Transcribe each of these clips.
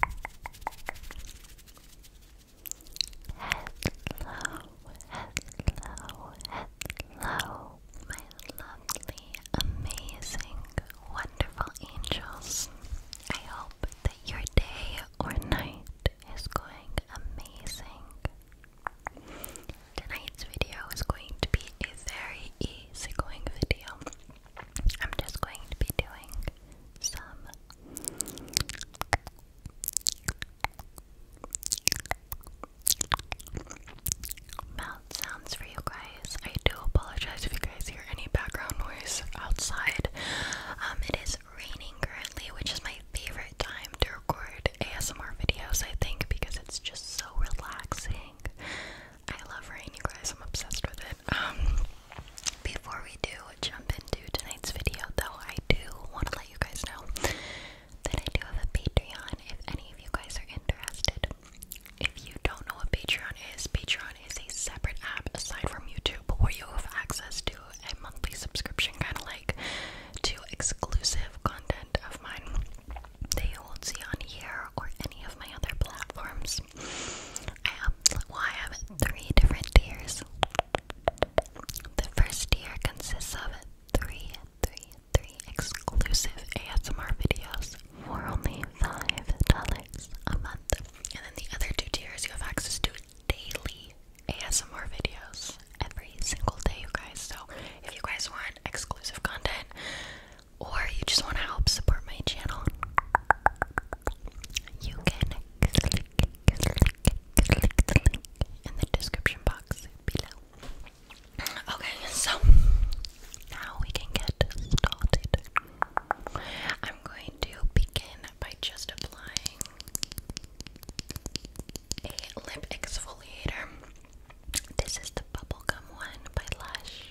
hello, hello, my lovely, amazing, wonderful angels. I hope that your day or night is going amazing. Tonight's video is going to be a very easygoing video. I'm just going to be doing some mouth sounds for you guys. I do apologize if you guys hear any background noise outside. Um, it is raining currently, which is my favorite time to record ASMR videos, I think, because it's just so relaxing. I love rain, you guys. I'm obsessed with it. Um, before we do jump into tonight's video, though, I do want to let you guys know that I do have a Patreon if any of you guys are interested. If you don't know what Patreon is, Patreon is a separate app aside from YouTube where you have access to a monthly subscription, kind of like to exclusive content of mine that you won't see on here or any of my other platforms. I have, well, I have three different tiers. The first tier consists of three, three, three exclusive ASMR videos for only $5 a month. And then the other two tiers, you have access to daily ASMR videos every single day, you guys. So if you guys want exclusive content or you just want to help support my channel, you can click, click, click the link in the description box below. Okay, so now we can get started. I'm going to begin by just applying a lip exfoliator. This is the bubblegum one by Lush.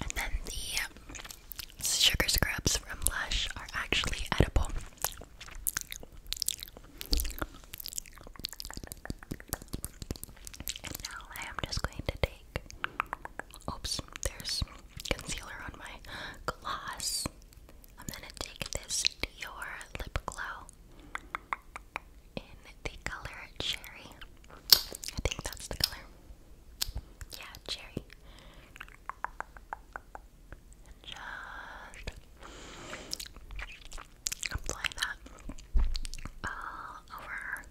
And then the um, sugar scrubs from Lush are actually edible. And now I am just going to take oops, there's concealer on my gloss. I'm gonna take this Dior Lip Glow in the color Cherry. I think that's the color. Yeah, Cherry. just apply that all over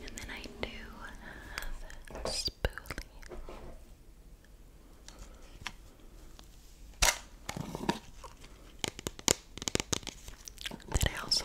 and then I do have a spoolie. I also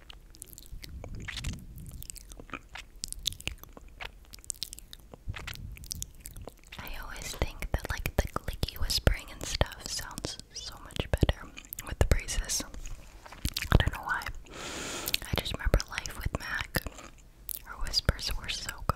I always think that like the clicky whispering and stuff sounds so much better with the braces. I don't know why. I just remember life with Mac. Her whispers were so good.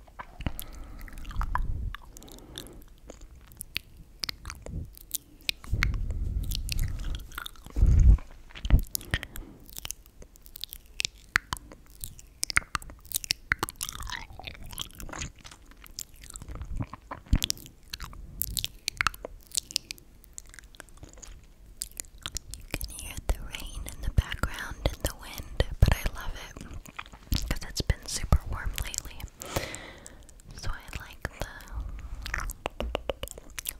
You can hear the rain in the background and the wind, but I love it because it's been super warm lately. So I like the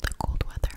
the cold weather.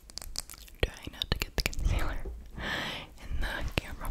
Trying not to get the concealer in the camera.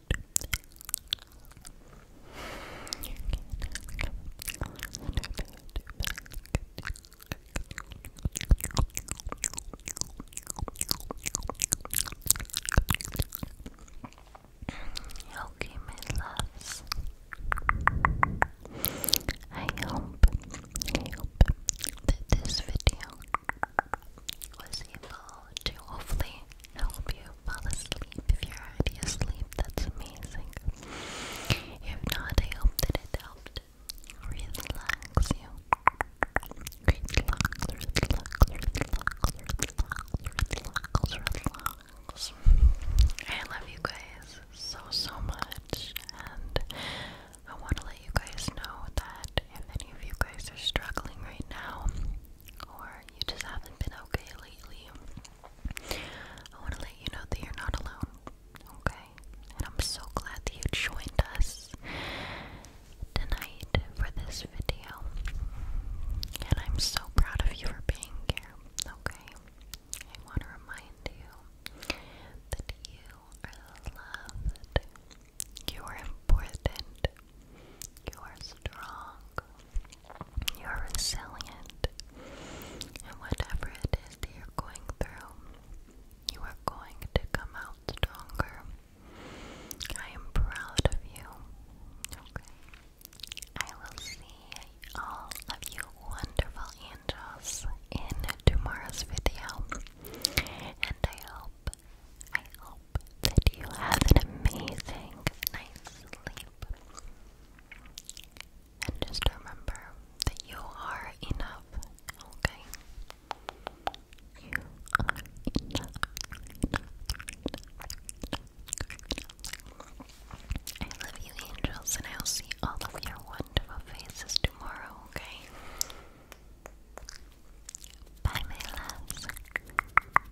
Okay, my loves. I hope, I hope that this video was able to hopefully help you fall asleep. If you're already asleep, that's amazing. If not, I hope that it helped relax you. Relax, relax, relax, relax, relax, relax. I love you guys so, so much, and I want to let you guys know that if any of you guys are struggling right now, or you just haven't been okay lately, I want to let you know that you're not alone, okay? And I'm so glad that you joined us tonight for this video. And I'm so proud of you for being here, okay? I want to remind you that you are loved, you are important, you are strong. You are resilient. And whatever it is that you're going through, you are going to come out stronger. I am proud of you. Okay. I will see all of you wonderful angels in tomorrow's video. And I hope, I hope that you have an amazing night's sleep. And just remember that you are enough, okay? You are enough. I love you, angels, and I'll see all of your wonderful faces tomorrow, okay? Bye, my loves.